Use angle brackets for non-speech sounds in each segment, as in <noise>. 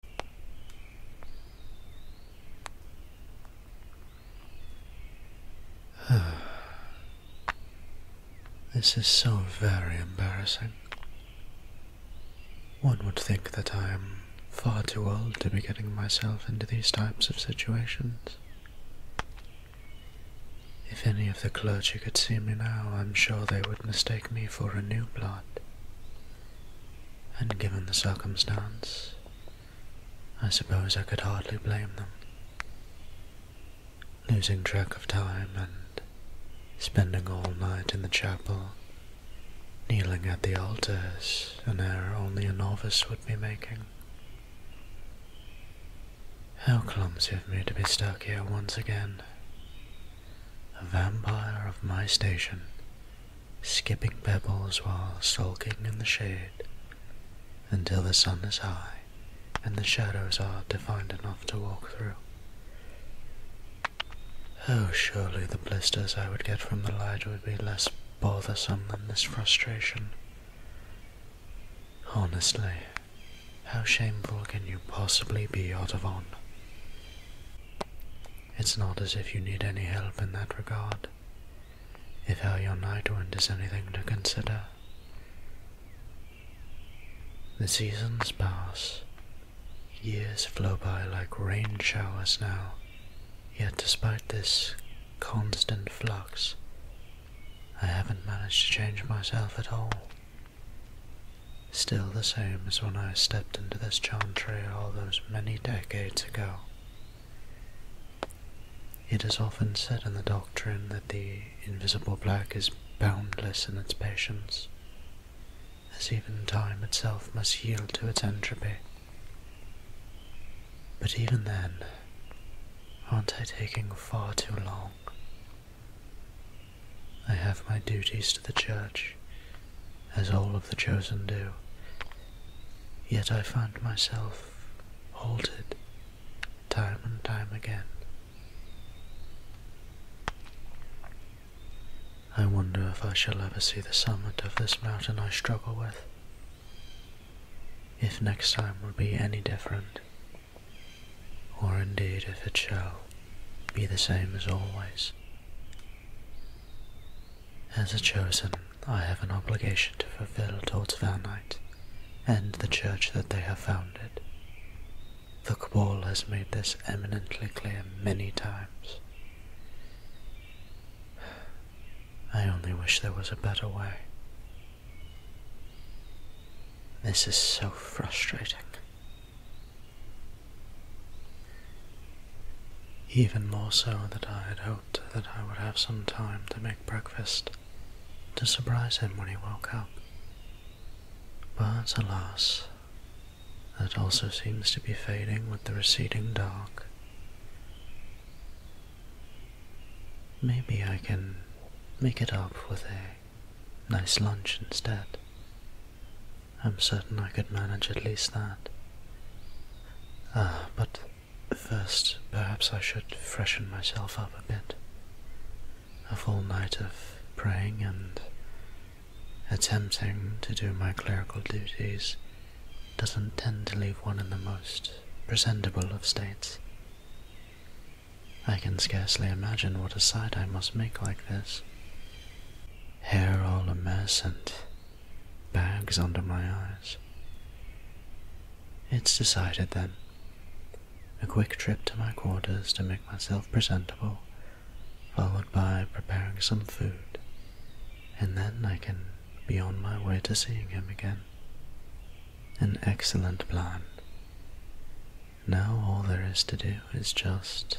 <sighs> this is so very embarrassing. One would think that I am far too old to be getting myself into these types of situations. If any of the clergy could see me now, I'm sure they would mistake me for a new blood and given the circumstance, I suppose I could hardly blame them. Losing track of time and spending all night in the chapel, kneeling at the altars an error only a novice would be making. How clumsy of me to be stuck here once again. A vampire of my station skipping pebbles while sulking in the shade until the sun is high and the shadows are defined enough to walk through. Oh, surely the blisters I would get from the light would be less bothersome than this frustration. Honestly, how shameful can you possibly be, Otavon? It's not as if you need any help in that regard. If how your night wind is anything to consider. The seasons pass. Years flow by like rain showers now. Yet despite this constant flux, I haven't managed to change myself at all still the same as when I stepped into this chantry all those many decades ago. It is often said in the doctrine that the invisible black is boundless in its patience, as even time itself must yield to its entropy. But even then, aren't I taking far too long? I have my duties to the church, as all of the chosen do. Yet I find myself halted time and time again. I wonder if I shall ever see the summit of this mountain I struggle with. If next time will be any different, or indeed if it shall be the same as always. As a chosen, I have an obligation to fulfill towards our Valnite and the church that they have founded. The Cabal has made this eminently clear many times. I only wish there was a better way. This is so frustrating. Even more so that I had hoped that I would have some time to make breakfast to surprise him when he woke up. But alas, that also seems to be fading with the receding dark. Maybe I can make it up with a nice lunch instead. I'm certain I could manage at least that. Ah, but first, perhaps I should freshen myself up a bit. A full night of praying and attempting to do my clerical duties doesn't tend to leave one in the most presentable of states. I can scarcely imagine what a sight I must make like this hair all a mess and bags under my eyes. It's decided then. A quick trip to my quarters to make myself presentable, followed by preparing some food, and then I can be on my way to seeing him again. An excellent plan. Now all there is to do is just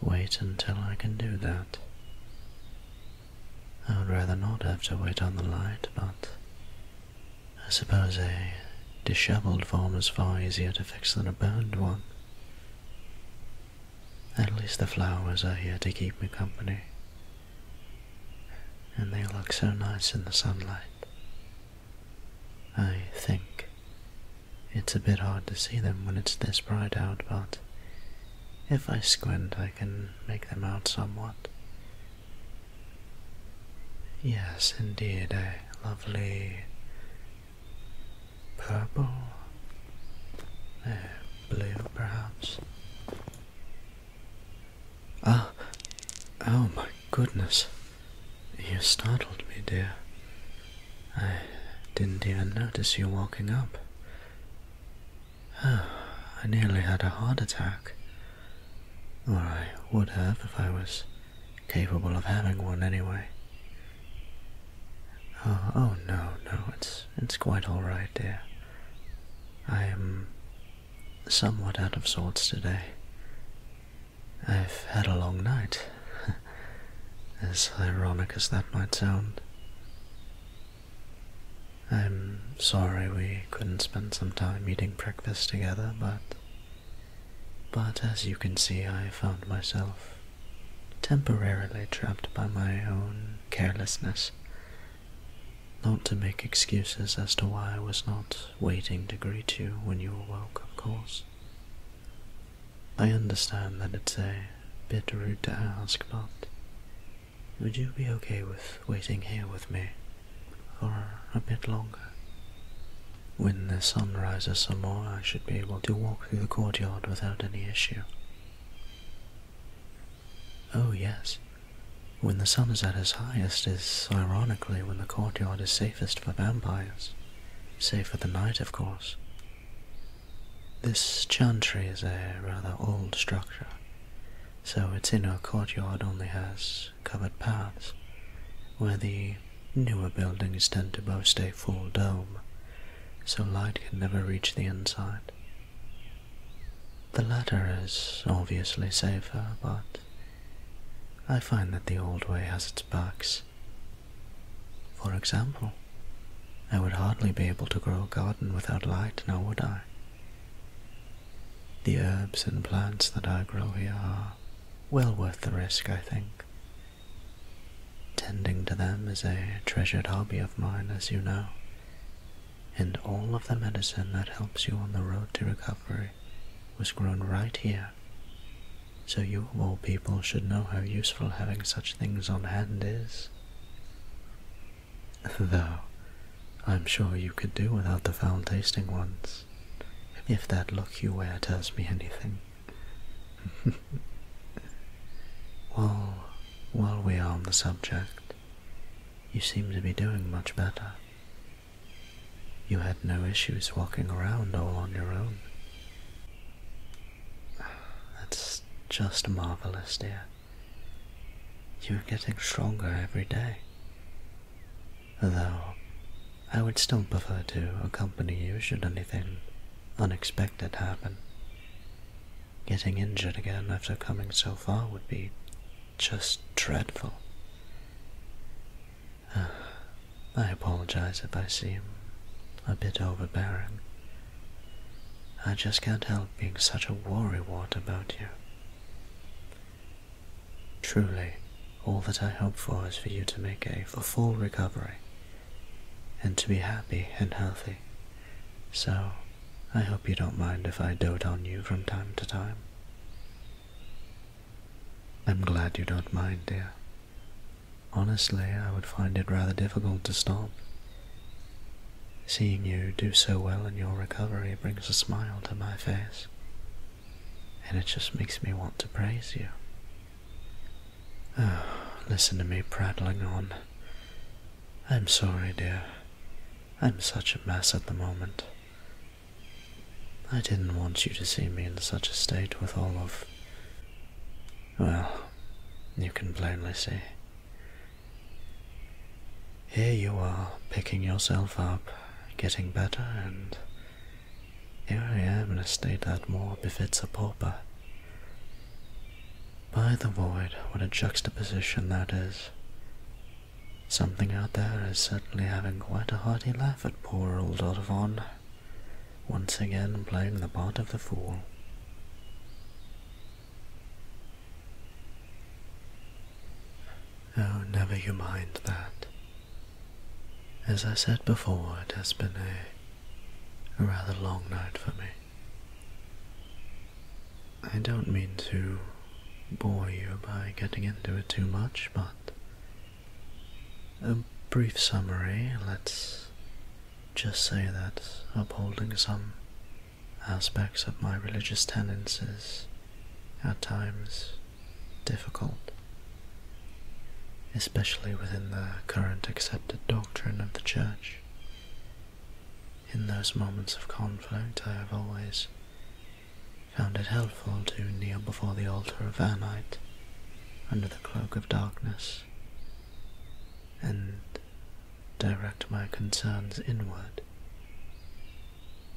Wait until I can do that. I would rather not have to wait on the light, but I suppose a disheveled form is far easier to fix than a burned one. At least the flowers are here to keep me company, and they look so nice in the sunlight. I think it's a bit hard to see them when it's this bright out, but if I squint, I can make them out somewhat. Yes, indeed, a lovely purple, uh, blue perhaps. Ah, oh my goodness, you startled me, dear. I didn't even notice you walking up. Oh, I nearly had a heart attack. Or I would have if I was capable of having one anyway. Oh, oh no, no, it's it's quite all right, dear. I am somewhat out of sorts today. I've had a long night. <laughs> as ironic as that might sound. I'm sorry we couldn't spend some time eating breakfast together, but. But as you can see, I found myself temporarily trapped by my own carelessness. Not to make excuses as to why I was not waiting to greet you when you awoke, of course. I understand that it's a bit rude to ask, but would you be okay with waiting here with me for a bit longer? When the sun rises some more, I should be able to walk through the courtyard without any issue. Oh, yes. When the sun is at its highest is ironically when the courtyard is safest for vampires. Save for the night, of course. This chantry is a rather old structure, so its inner courtyard only has covered paths, where the newer buildings tend to boast a full dome, so light can never reach the inside. The latter is obviously safer, but I find that the old way has its perks, for example, I would hardly be able to grow a garden without light now would I? The herbs and plants that I grow here are well worth the risk, I think. Tending to them is a treasured hobby of mine, as you know, and all of the medicine that helps you on the road to recovery was grown right here so you old people should know how useful having such things on hand is. Though, I'm sure you could do without the foul-tasting ones, if that look you wear tells me anything. <laughs> while, while we are on the subject, you seem to be doing much better. You had no issues walking around all on your own. That's just marvelous, dear. You're getting stronger every day. Though, I would still prefer to accompany you should anything unexpected happen. Getting injured again after coming so far would be just dreadful. Ah, I apologize if I seem a bit overbearing. I just can't help being such a worrywart about you. Truly, all that I hope for is for you to make a full recovery and to be happy and healthy. So, I hope you don't mind if I dote on you from time to time. I'm glad you don't mind, dear. Honestly, I would find it rather difficult to stop. Seeing you do so well in your recovery brings a smile to my face, and it just makes me want to praise you. Oh, listen to me prattling on. I'm sorry, dear. I'm such a mess at the moment. I didn't want you to see me in such a state with all of well, you can plainly see. Here you are, picking yourself up, getting better, and here I am in a state that more befits a pauper. By the void, what a juxtaposition that is. Something out there is certainly having quite a hearty laugh at poor old Olivon once again playing the part of the fool. Oh, never you mind that. As I said before, it has been a, rather long night for me. I don't mean to bore you by getting into it too much, but a brief summary Let's just say that upholding some aspects of my religious tendencies at times difficult, especially within the current accepted doctrine of the Church. In those moments of conflict, I have always found it helpful to kneel before the altar of Anite under the cloak of darkness and direct my concerns inward,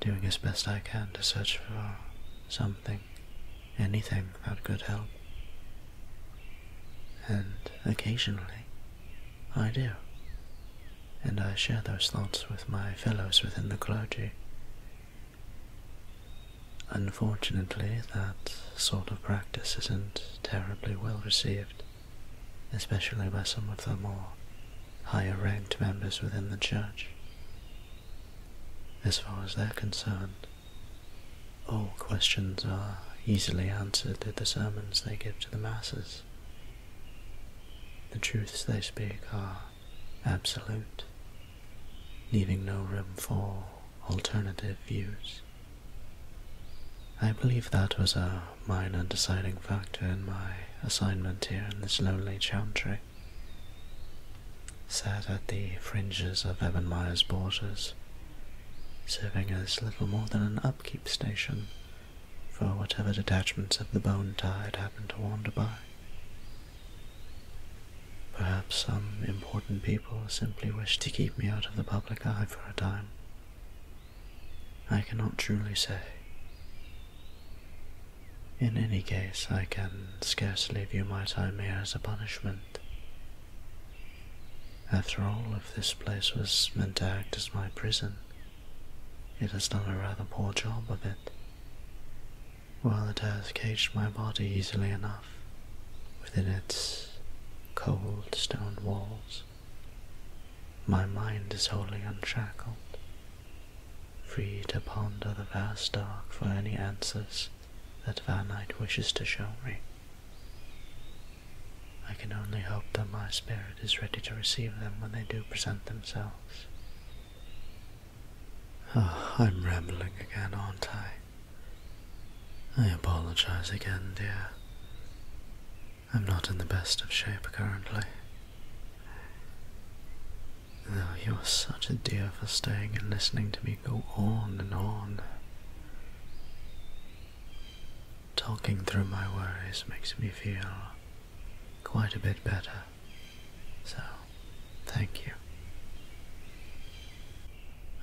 doing as best I can to search for something, anything that could help. And occasionally I do, and I share those thoughts with my fellows within the clergy. Unfortunately, that sort of practice isn't terribly well received, especially by some of the more higher ranked members within the church. As far as they're concerned, all questions are easily answered at the sermons they give to the masses. The truths they speak are absolute, leaving no room for alternative views. I believe that was a minor deciding factor in my assignment here in this lonely chantry. Sat at the fringes of Evan borders, serving as little more than an upkeep station for whatever detachments of the bone tide happened to wander by. Perhaps some important people simply wish to keep me out of the public eye for a time. I cannot truly say. In any case, I can scarcely view my time here as a punishment. After all, if this place was meant to act as my prison, it has done a rather poor job of it. While it has caged my body easily enough, within its cold stone walls. My mind is wholly unshackled, free to ponder the vast dark for any answers that Van Eyck wishes to show me. I can only hope that my spirit is ready to receive them when they do present themselves. Oh, I'm rambling again, aren't I? I apologize again, dear. I'm not in the best of shape currently. Though you are such a dear for staying and listening to me go on and on. Talking through my worries makes me feel quite a bit better, so thank you.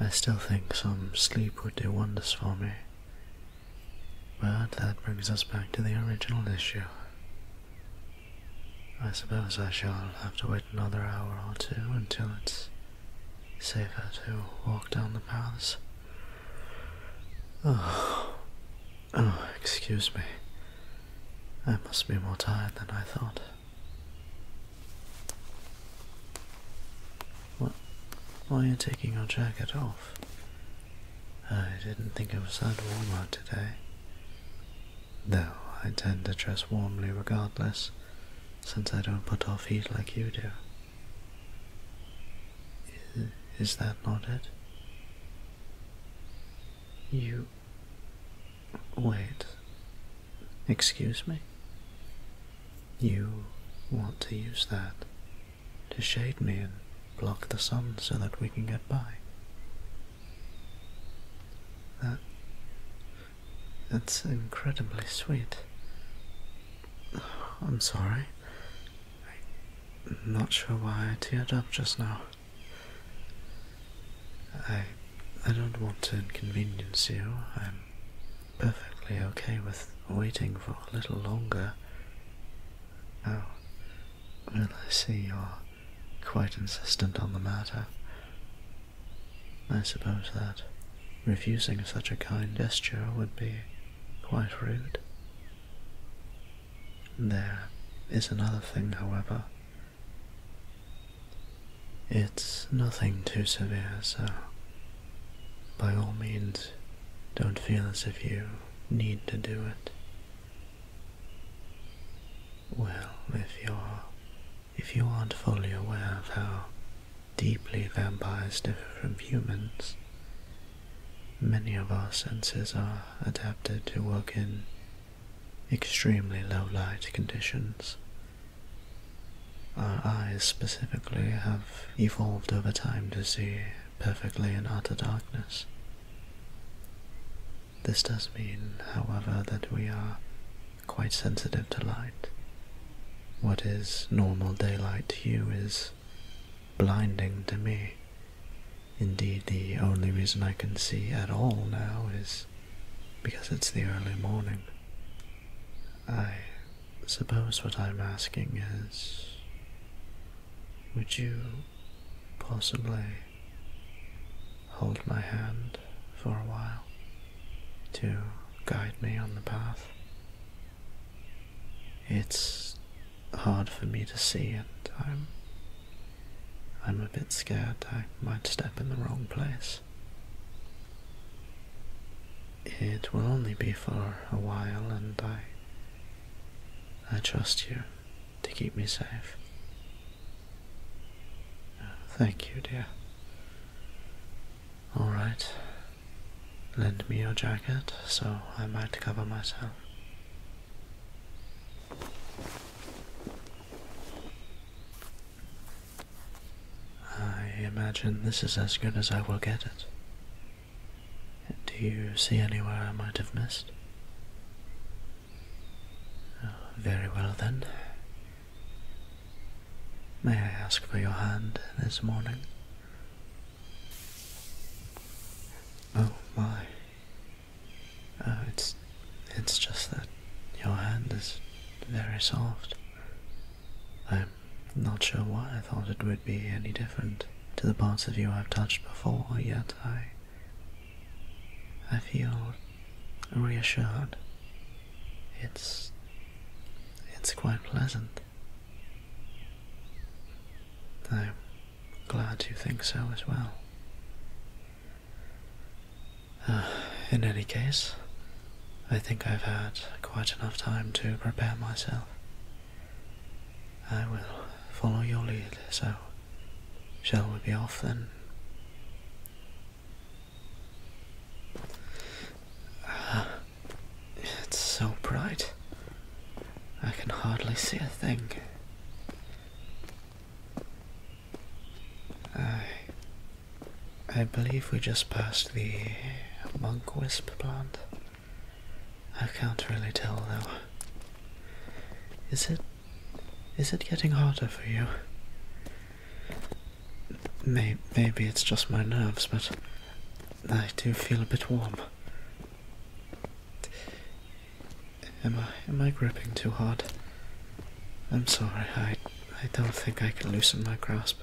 I still think some sleep would do wonders for me. But that brings us back to the original issue. I suppose I shall have to wait another hour or two until it's safer to walk down the paths. Oh, oh, excuse me. I must be more tired than I thought. Why are you taking your jacket off? I didn't think it was that warm out today. Though I tend to dress warmly regardless, since I don't put off heat like you do. is that not it? You. Wait. Excuse me? You want to use that to shade me and block the sun so that we can get by? That. That's incredibly sweet. I'm sorry. I'm not sure why I teared up just now. I I don't want to inconvenience you. I'm perfectly okay with waiting for a little longer. Oh, well, I see you're quite insistent on the matter. I suppose that refusing such a kind gesture would be quite rude. There is another thing, however. It's nothing too severe, so by all means, don't feel as if you need to do it. Well, if you're if you aren't fully aware of how deeply vampires differ from humans, many of our senses are adapted to work in extremely low light conditions our eyes specifically have evolved over time to see perfectly in utter darkness. This does mean, however, that we are quite sensitive to light. What is normal daylight to you is blinding to me. Indeed, the only reason I can see at all now is because it's the early morning. I suppose what I'm asking is would you possibly hold my hand for a while to guide me on the path? It's hard for me to see and I'm I'm a bit scared I might step in the wrong place. It will only be for a while, and I. I trust you to keep me safe. Thank you, dear. All right. Lend me your jacket so I might cover myself. I imagine this is as good as I will get it. Do you see anywhere I might have missed? Oh, very well then. May I ask for your hand this morning? Oh my. Oh, it's it's just that your hand is very soft. I'm not sure why I thought it would be any different to the parts of you I've touched before, yet I. I feel reassured. It's. it's quite pleasant. I'm glad you think so as well. <sighs> in any case, I think I've had quite enough time to prepare myself. I will follow your lead, so shall we be off then? <sighs> it's so bright. I can hardly see a thing. I I believe we just passed the monk wisp plant. I can't really tell though. Is it. is it getting hotter for you? maybe it's just my nerves, but I do feel a bit warm. Am I am I gripping too hard? I'm sorry, I I don't think I can loosen my grasp.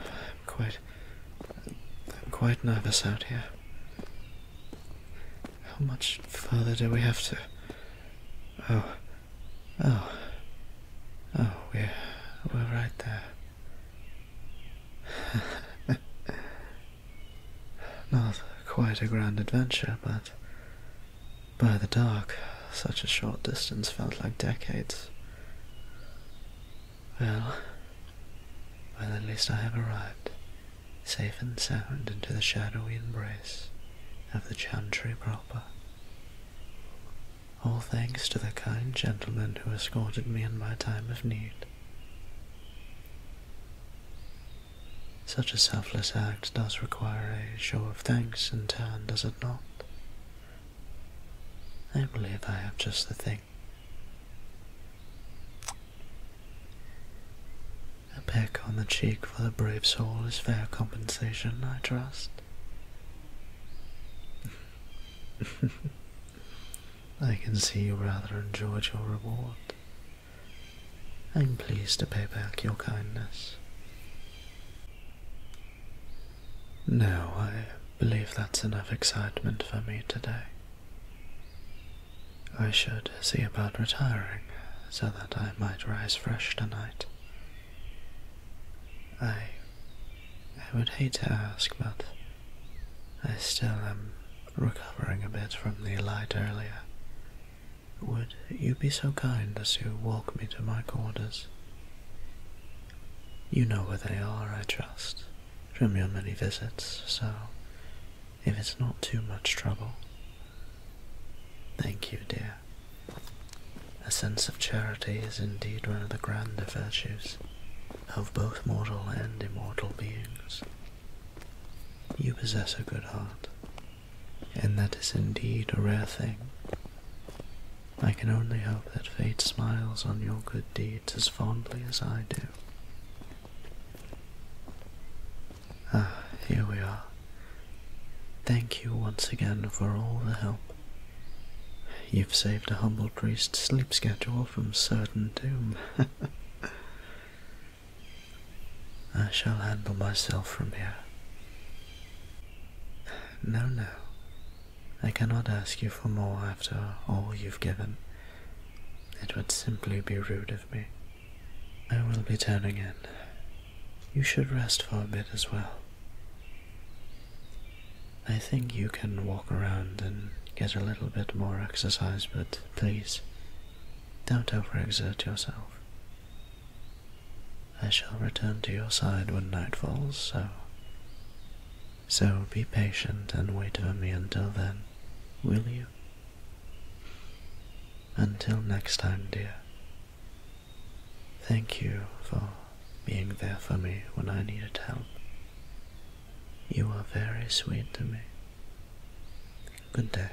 I'm quite I'm quite nervous out here. How much further do we have to Oh oh Oh we're we're right there. <laughs> Not quite a grand adventure, but by the dark, such a short distance felt like decades. Well, well, at least I have arrived, safe and sound, into the shadowy embrace of the Chantry proper. All thanks to the kind gentleman who escorted me in my time of need. Such a selfless act does require a show of thanks in turn, does it not? I believe I have just the thing. A peck on the cheek for the brave soul is fair compensation, I trust. <laughs> I can see you rather enjoyed your reward. I'm pleased to pay back your kindness. No, I believe that's enough excitement for me today. I should see about retiring so that I might rise fresh tonight. I. I would hate to ask, but I still am recovering a bit from the light earlier. Would you be so kind as to walk me to my quarters? You know where they are, I trust, from your many visits, so if it's not too much trouble. Thank you, dear. A sense of charity is indeed one of the grander virtues of both mortal and immortal beings. You possess a good heart, and that is indeed a rare thing. I can only hope that fate smiles on your good deeds as fondly as I do. Ah, here we are. Thank you once again for all the help. You've saved a humble priest's sleep schedule from certain doom. <laughs> I shall handle myself from here no, no. I cannot ask you for more after all you've given. It would simply be rude of me. I will be turning in. You should rest for a bit as well. I think you can walk around and get a little bit more exercise, but please, don't overexert yourself. I shall return to your side when night falls, so. So be patient and wait for me until then, will you? Until next time, dear. Thank you for being there for me when I needed help. You are very sweet to me. Good day.